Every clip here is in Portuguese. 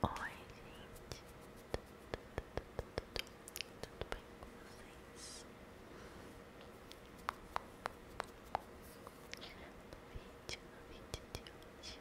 Oi, gente. Tudo bem com vocês? No vídeo, no vídeo de hoje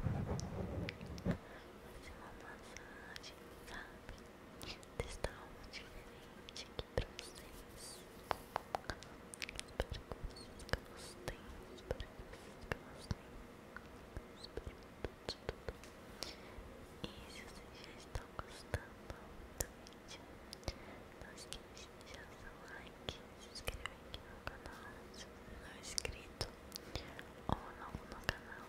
Fazer uma massagem, sabe? Testar algo diferente aqui pra vocês Espero que vocês gostem, espero que vocês gostem e se vocês já estão gostando do vídeo, não esqueça de deixar o seu like, se inscrever aqui no canal se você não é inscrito ou novo no canal.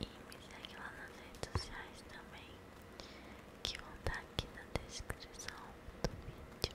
E me segue lá nas redes sociais também, que vão estar aqui na descrição do vídeo.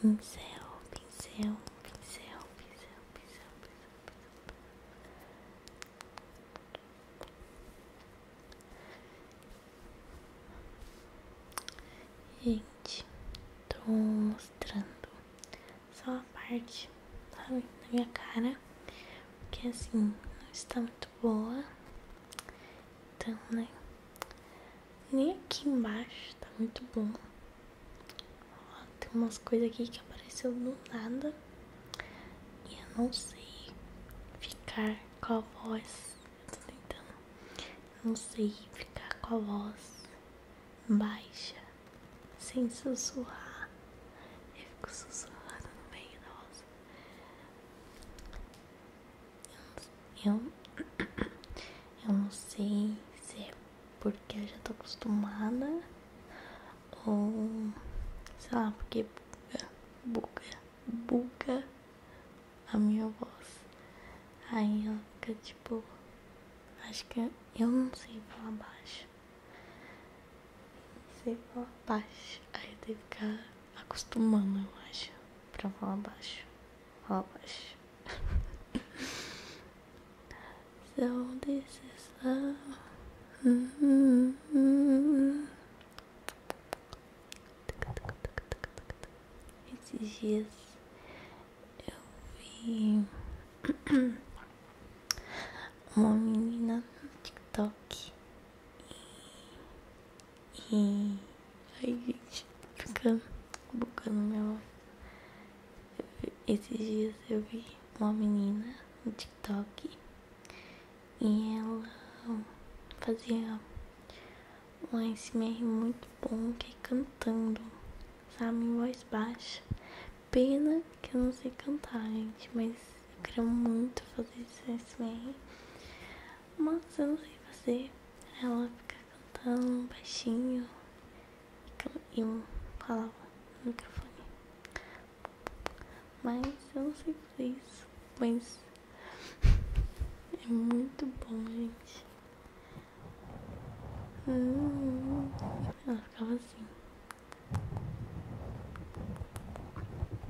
Pincel, pincel, pincel, pincel, pincel, pincel, pincel. Gente, tô mostrando só a parte, sabe, da minha cara, porque assim não está muito boa. Então, né? Nem aqui embaixo tá muito bom. Ó, tem umas coisas aqui que apareceu do nada. E eu não sei ficar com a voz. Eu tô tentando. Eu não sei ficar com a voz baixa, sem sussurrar. Eu fico sussurrando bem meio voz. Eu, eu não sei se é porque eu já tô acostumada ou sei lá, porque buga, buga, buga a minha voz. Aí ela fica tipo, acho que eu não sei falar baixo sempre falar baixo. Aí tem que ficar acostumando, eu acho, pra falar baixo. Falar baixo. so this is Esses dias eu vi uma menina no TikTok e. Ai, gente, tô ficando bugando minha Esses dias eu vi uma menina no TikTok e ela fazia um SMR muito bom que é cantando, sabe, em voz baixa. Pena que eu não sei cantar, gente, mas eu queria muito fazer isso ASMR. É mas eu não sei fazer. Ela fica cantando baixinho. E eu falava no microfone. Mas eu não sei fazer isso. Mas é muito bom, gente. Hum, ela ficava assim.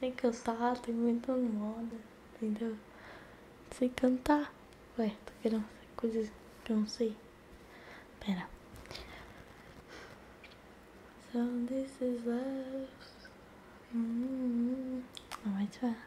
Sem cantar, tô inventando moda, entendeu? Sem cantar. Ué, tô querendo fazer coisas que eu não sei. Pera. So this is love. Mm -hmm. Não vai te falar.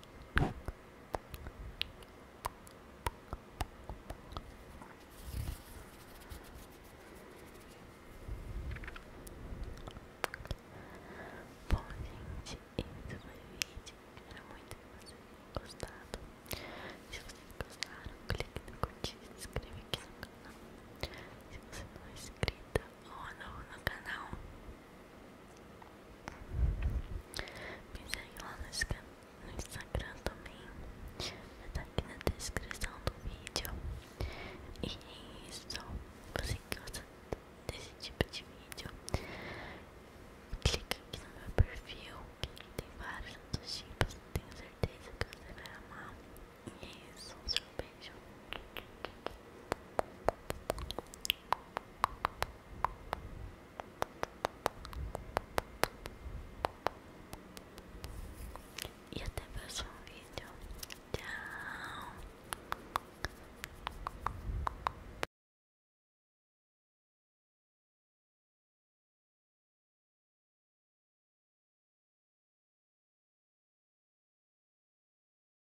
Bom, gente, esse foi o vídeo. Espero muito que vocês tenham gostado. Se vocês gostaram, clique no curtir e se inscreva aqui no canal. Se você não é inscrita ou novo no canal, me segue lá no Instagram também. Vai tá aqui na descrição do vídeo. E é isso. Você que gosta desse tipo de vídeo, clique aqui no meu perfil. Que tem vários tipos. Tenho certeza que você vai amar. E é isso. Um beijo. E até o próximo vídeo. Tchau.